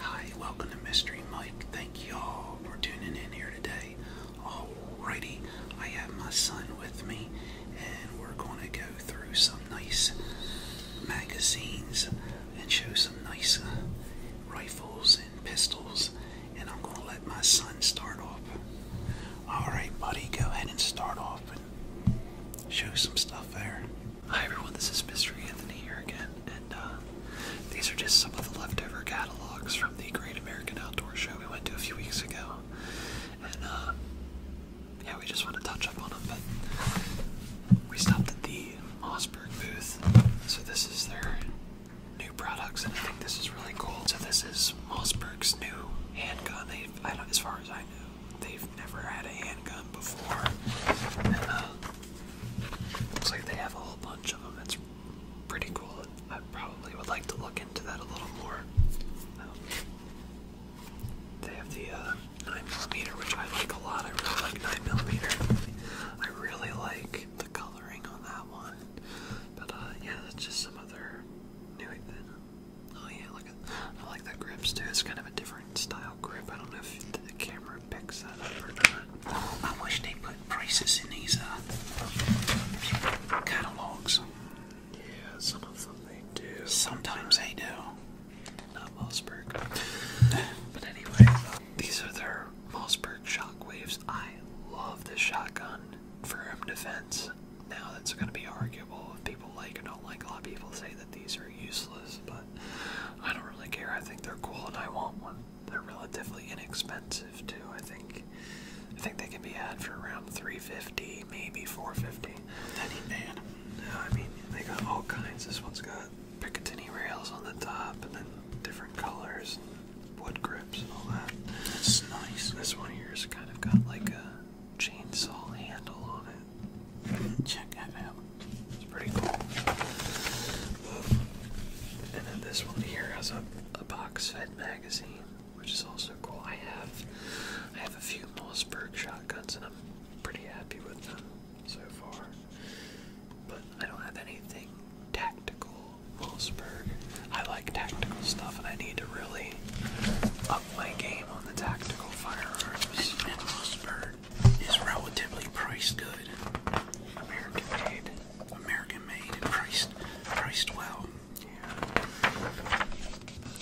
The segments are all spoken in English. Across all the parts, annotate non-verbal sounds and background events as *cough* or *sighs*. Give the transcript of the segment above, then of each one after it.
Hi, welcome to Mystery Mike. Thank y'all for tuning in here today. Alrighty, I have my son with me, and we're going to go through some nice magazines and show some nice uh, rifles and pistols. And I'm going to let my son start off. Alright, buddy, go ahead and start off and show some stuff there. Hi everyone, this is Mr. Anthony here again, and uh, these are just some of the leftover catalogs from the Great American Outdoor Show we went to a few weeks ago. And uh, yeah, we just want to touch up on them, but we stopped at the Mossberg booth. So this is their new products, and I think this is really cool. So this is Mossberg's new handgun. they I do as far as I know, they've never had a handgun before. Uh, Looks like they have a whole bunch of them. It's pretty cool. I probably would like to look into that a little more. Um, they have the 9mm, uh, which I like a lot. I really like 9mm. I really like the coloring on that one. But uh, yeah, that's just some other new thing. Oh yeah, look at, I like the grips too. It's kind of a different style grip. I don't know if the camera I wish they put prices in these uh, catalogs. Yeah, some they do. Sometimes they do. Not Mossberg. *laughs* but anyway, these are their Mossberg shockwaves. I love this shotgun for home defense. Now that's going to be arguable people like or don't like. A lot of people say that these are useless, but I don't really care. I think they're cool and I want one. They're relatively inexpensive too. I think I think they can be had for around 350, maybe 450. That ain't No, I mean they got all kinds. This one's got Picatinny rails on the top and then different colors and wood grips and all that. That's nice. This one here's kind of got like a chainsaw handle on it. Check that out. It's pretty cool. And then this one here has a, a box fed magazine, which is also cool. I have I have a few Mossberg shotguns and I'm pretty happy with them so far. But I don't have anything tactical Mossberg. I like tactical stuff and I need to really up my game on the tactical firearms. Is relatively priced good. American made. American made and priced priced well. Yeah.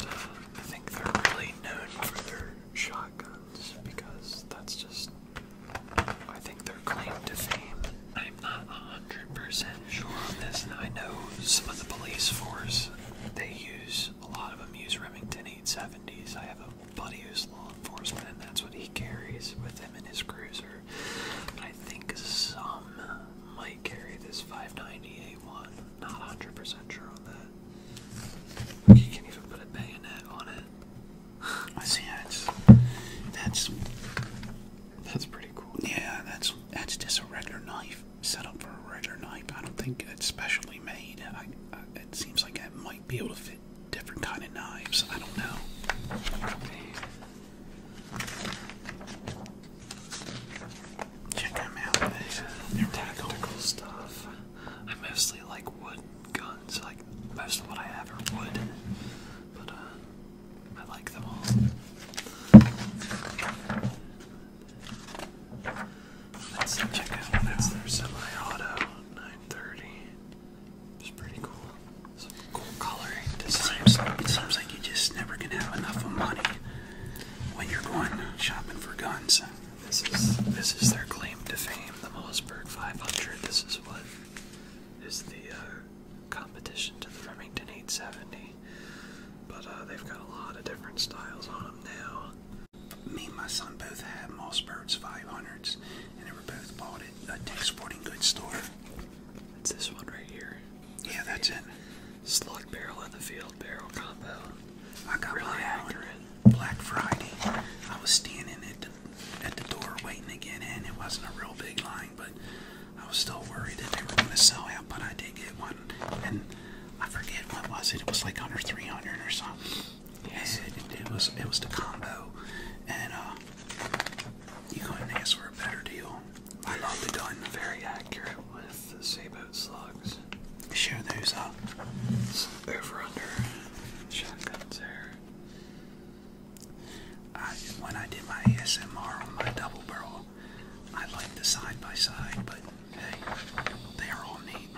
Uh, I think they're really known for their shotguns because that's just I think they're claimed to fame. I'm not 100% sure on this and I know some of the police force they use a lot of them use Remington 1970s. I have a buddy who's law enforcement, and that's what he carries with him in his cruiser. I think some might carry this 590A1. Not 100% sure on that. You can even put a bayonet on it. I see. That's that's that's pretty cool. Yeah, that's that's just a regular knife set up for a regular knife. I don't think it's specially made. I, it seems like it might be able to fit different kind of knives. I don't know. Check them out. They're tactical stuff. I mostly like wooden guns. Like most of what I have are wood, but uh, I like them all. Let's check that's their semi-auto 930. It's pretty cool. Some cool coloring It seems, like you just never can have enough of money when you're going shopping for guns. This is this is their claim to fame, the Mollsburg 500. This is what is the uh, competition to the Remington 870. But uh, they've got a lot of different styles on them now me and my son both had Moss 500s, and they were both bought at a Sporting Goods store. It's this one right here. Yeah, that's it. Slug barrel in the field barrel combo. I got really accurate. Black Friday. I was standing at the, at the door waiting to get in. It wasn't a real big line, but I was still worried that they were going to sell out, but I did get one and I forget what was it. It was like under 300 or something. Yes, it, it was. It was the combo, and uh, you couldn't ask for a better deal. I love the gun. Very accurate with the sea boat slugs. Show those up. Uh, over under shotguns there. I, when I did my ASMR on my double barrel, I like the side by side, but hey, they are all neat.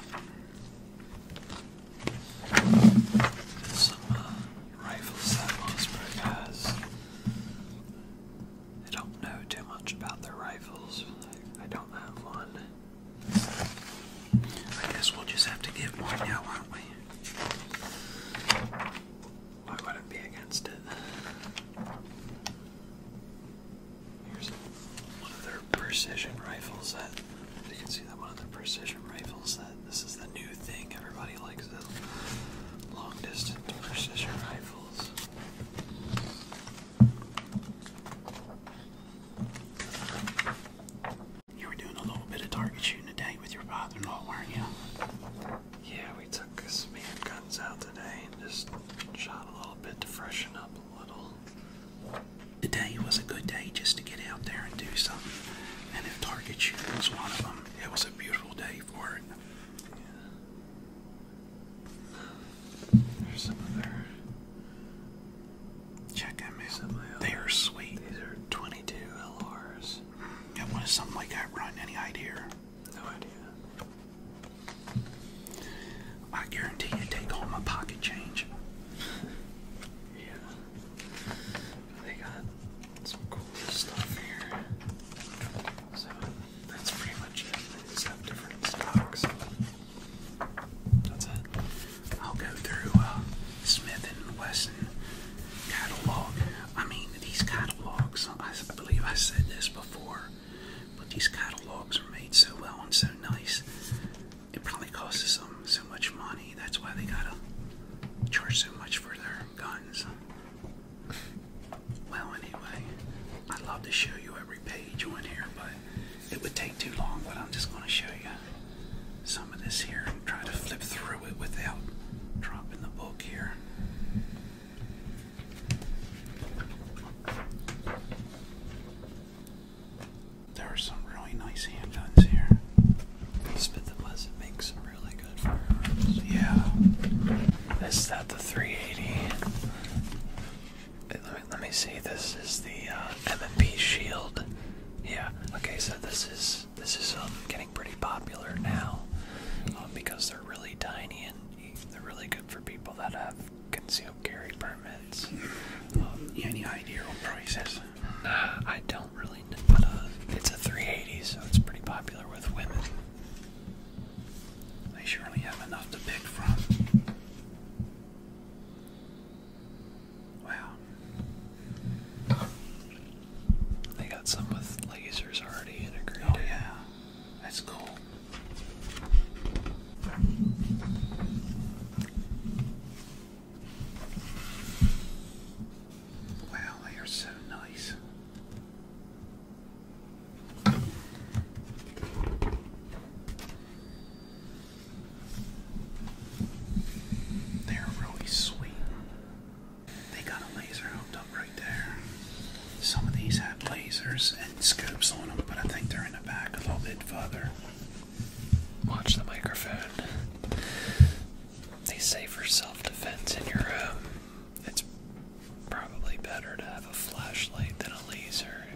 Some uh, rifles that Mossberg has. I don't know too much about their rifles. I don't have one. I guess we'll just have to get one now, won't we? Why would it be against it? Here's one of their precision rifles that you can see that one of their precision rifles that this is the new thing. Everybody likes the long distance precision rifles. You were doing a little bit of target shooting today with your father-in-law, weren't you? Yeah, we took some guns out today and just shot a little bit to freshen up a little. Today was a good day just to get out there and do something. And if target shoot was one of them, it was a beautiful day for it. There's some other. Check them out. Some they are sweet. These are 22 LRs. Mm, I wanted something like that run. Any idea? No idea. I guarantee you take all my pocket change. *laughs* yeah. They got some cool stuff here. So that's pretty much it. They different stocks. That's it. I'll go through uh, Smith and Wesson catalog. I mean, these catalogs. I believe I said this before. But these catalogs are made so well and so nice. It probably costs them so much money. That's why they gotta charge so much for their guns. Well, anyway, I'd love to show you every page on here, but it would take too long. But I'm just gonna show you some of this here and try to flip through it without dropping the book here. There are some really nice handguns here. Spit the Blessed makes some really good firearms. Yeah. Is that the 380? Let me, see. This is the uh, M&P Shield. Yeah. Okay. So this is this is um, pretty popular now um, because they're really tiny and they're really good for people that have concealed carry permits. Um, Any idea what price is? Nah, I don't really know. But, uh, it's a 380, so it's pretty popular with women. They surely have enough to pick from. Wow. They got some with lasers already integrated. Oh yeah, that's cool. Wow, they are so nice. They're really sweet. They got a laser hooked up right there. Some of these have lasers and scopes on them, but I think they're in the back a little bit further. Watch the microphone. They say for self defense in your room, it's probably better to have a flashlight than a laser.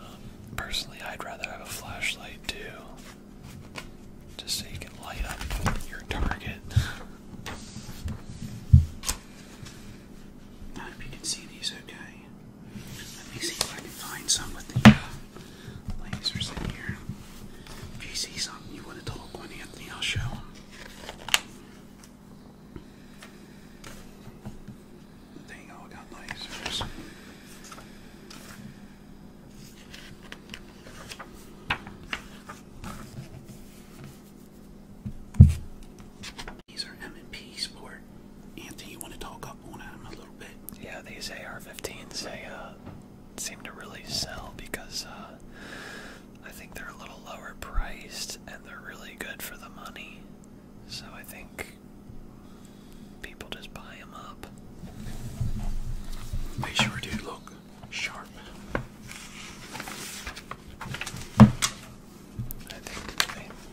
Um, personally, I'd rather have a flashlight too just so you can light up your target. I hope you can see these okay. Let me see if I can find some with the uh, lasers in here. If you see something you would have told one Anthony, I'll show him. There you got lasers. These are M&P Sport. Anthony, you want to talk up them a little bit? Yeah, these AR-15s, they uh, seem to really sell because uh, I think they're a little lower priced and they're really good for the money. So I think people just buy them up. They sure do. Look, sharp.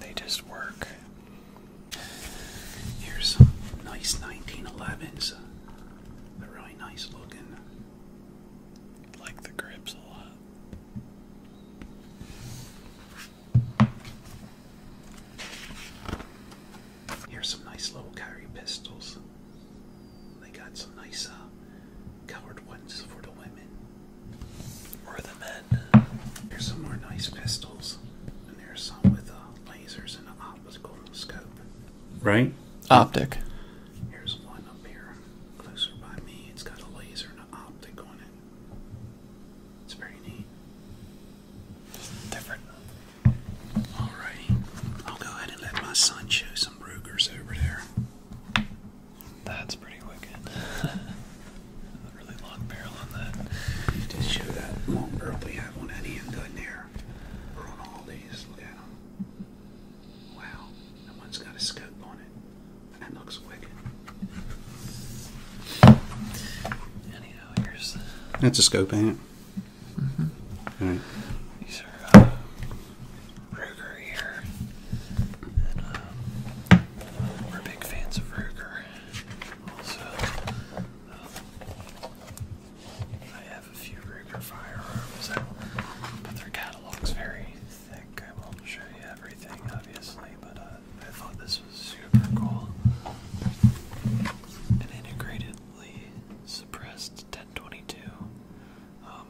they just work. Here's some nice 1911s. They're really nice looking. Like the grips a lot. Here's some nice little carry pistols. They got some nice uh, colored ones for the women or the men. Here's some more nice pistols, and there's some with uh, lasers and an optical scope. Right? Optic. Here's one up here, closer by me. It's got a laser and an optic on it. It's very neat. It's different. Alrighty, I'll go ahead and let my son show some Brugers over there. That's pretty wicked. *laughs* really long barrel on that. Just show that long barrel we have on that end, doesn't there? We're on all these. Look Wow, that one's got a scope on it. That looks wicked. Anyhow, here's. That's a scope, ain't it? Mm -hmm. These are uh, Ruger here, and uh, we're big fans of Ruger. Also, um, I have a few Ruger firearms, but their catalog's very thick. I will show you everything, obviously, but uh, I thought this was super cool. An integratedly suppressed 1022. Um,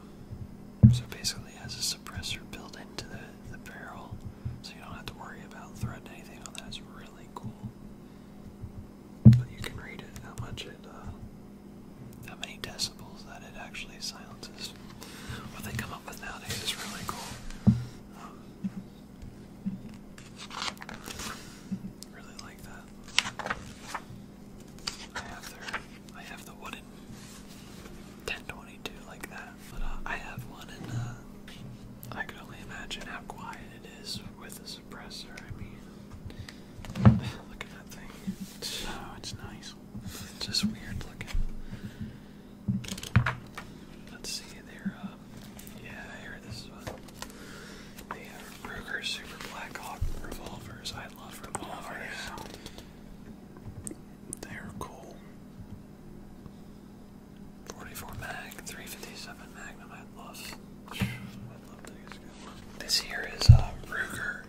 so basically has a suppressor built into the, the barrel, so you don't have to worry about threading anything oh, That's really cool. But you can read it, how much it, uh, how many decibels that it actually silences. What they come up with nowadays is really cool. Um, Really like that. I have their, I have the wooden 1022 like that, but uh, I have one and uh, I could only imagine how quiet it is with a suppressor. I mean, *sighs* look at that thing. It's, oh, it's nice. just weird looking. Let's see, there. are uh, yeah, I this one. They Ruger Super Black revolvers. I love revolvers. Oh, They're cool. 44 mag, 357 Magnum. I love. I love these. This here is uh, a Ruger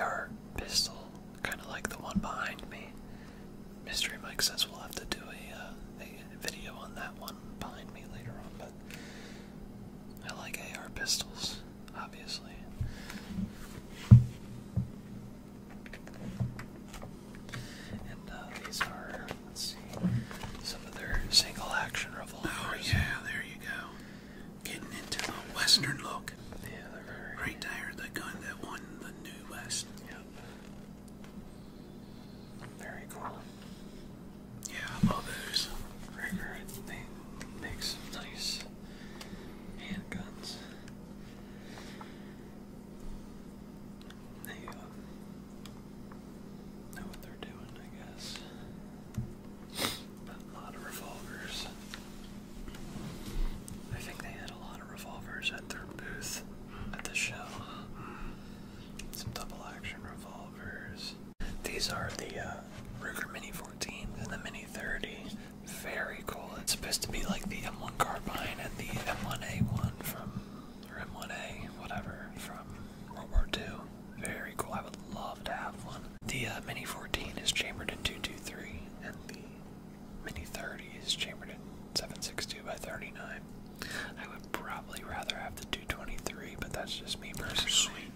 AR pistol, kind of like the one behind me. Mystery Mike says we'll have to do a uh, a video on that one behind me later on, but I like AR pistols, obviously. And uh, these are, let's see, some of single action revolvers. Oh, yeah, there you go. Getting into the Western look. Yeah, they're very. the gun that won the New West. Very cool. Yeah, I those. they make some nice handguns. They uh, know what they're doing, I guess. a lot of revolvers. I think they had a lot of revolvers at their booth at the show some double action revolvers. These are the uh, Ruger Mini Fourteen and the Mini 30. Very cool. It's supposed to be like the M1 carbine and the M1A1 from, or M1A, whatever, from World War II. Very cool. I would love to have one. The uh, Mini 14 is chambered in 223, and the Mini 30 is chambered in 762 by 39. I would probably rather have the 223, but that's just me personally. sweet.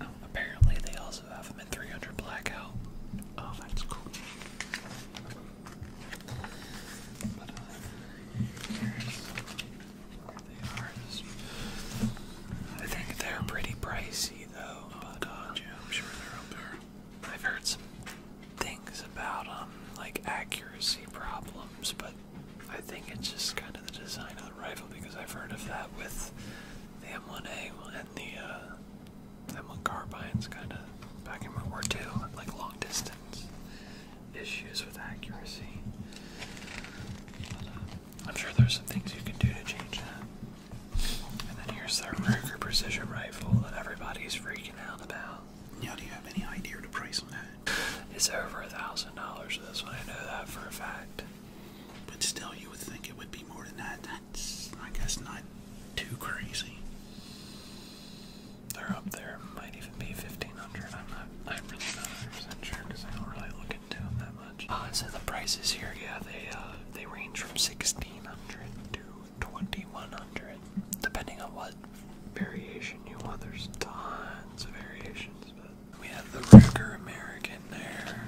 Oh, apparently they also have them in 300 blackout. Oh, that's cool. I think they're pretty pricey though. but, uh, I'm sure they're up there. I've heard some things about um like accuracy problems, but I think it's just kind of the design of the rifle because I've heard of that with the M1A and the uh, M1 carbines kind of back in World War II, like long distance issues with accuracy. Uh, I'm sure there's some things you can do to change that. And then here's their Ruger precision rifle that everybody's freaking came do you have any idea to price on that? It's over a thousand dollars. This one, I know that for a fact. But still, you would think it would be more than that. That's, I guess, not too crazy. They're up there. Might even be fifteen hundred. I'm not. I'm really not 100 percent sure because I don't really look into them that much. Uh, so the prices here, yeah, they uh, they range from sixteen hundred to 2100, depending on what variation you want. There's tons of variations, but we have the Ruger American there.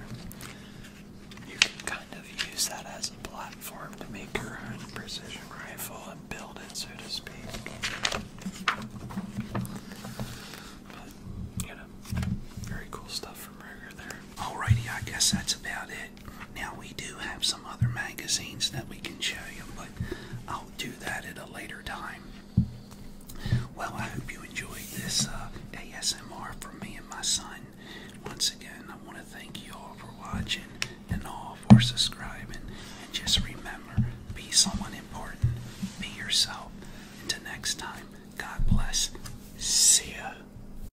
You can kind of use that as a platform to make your own precision rifle and build it, so to speak. But, you know, very cool stuff from Ruger there. Alrighty, I guess that's about it. Now, we do have some other magazines that we can show you, but I'll do that at a later time. Well, I hope you enjoyed this uh, ASMR from me and my son. Once again, I want to thank you all for watching and all for subscribing. And just remember be someone important, be yourself. Until next time, God bless. See ya.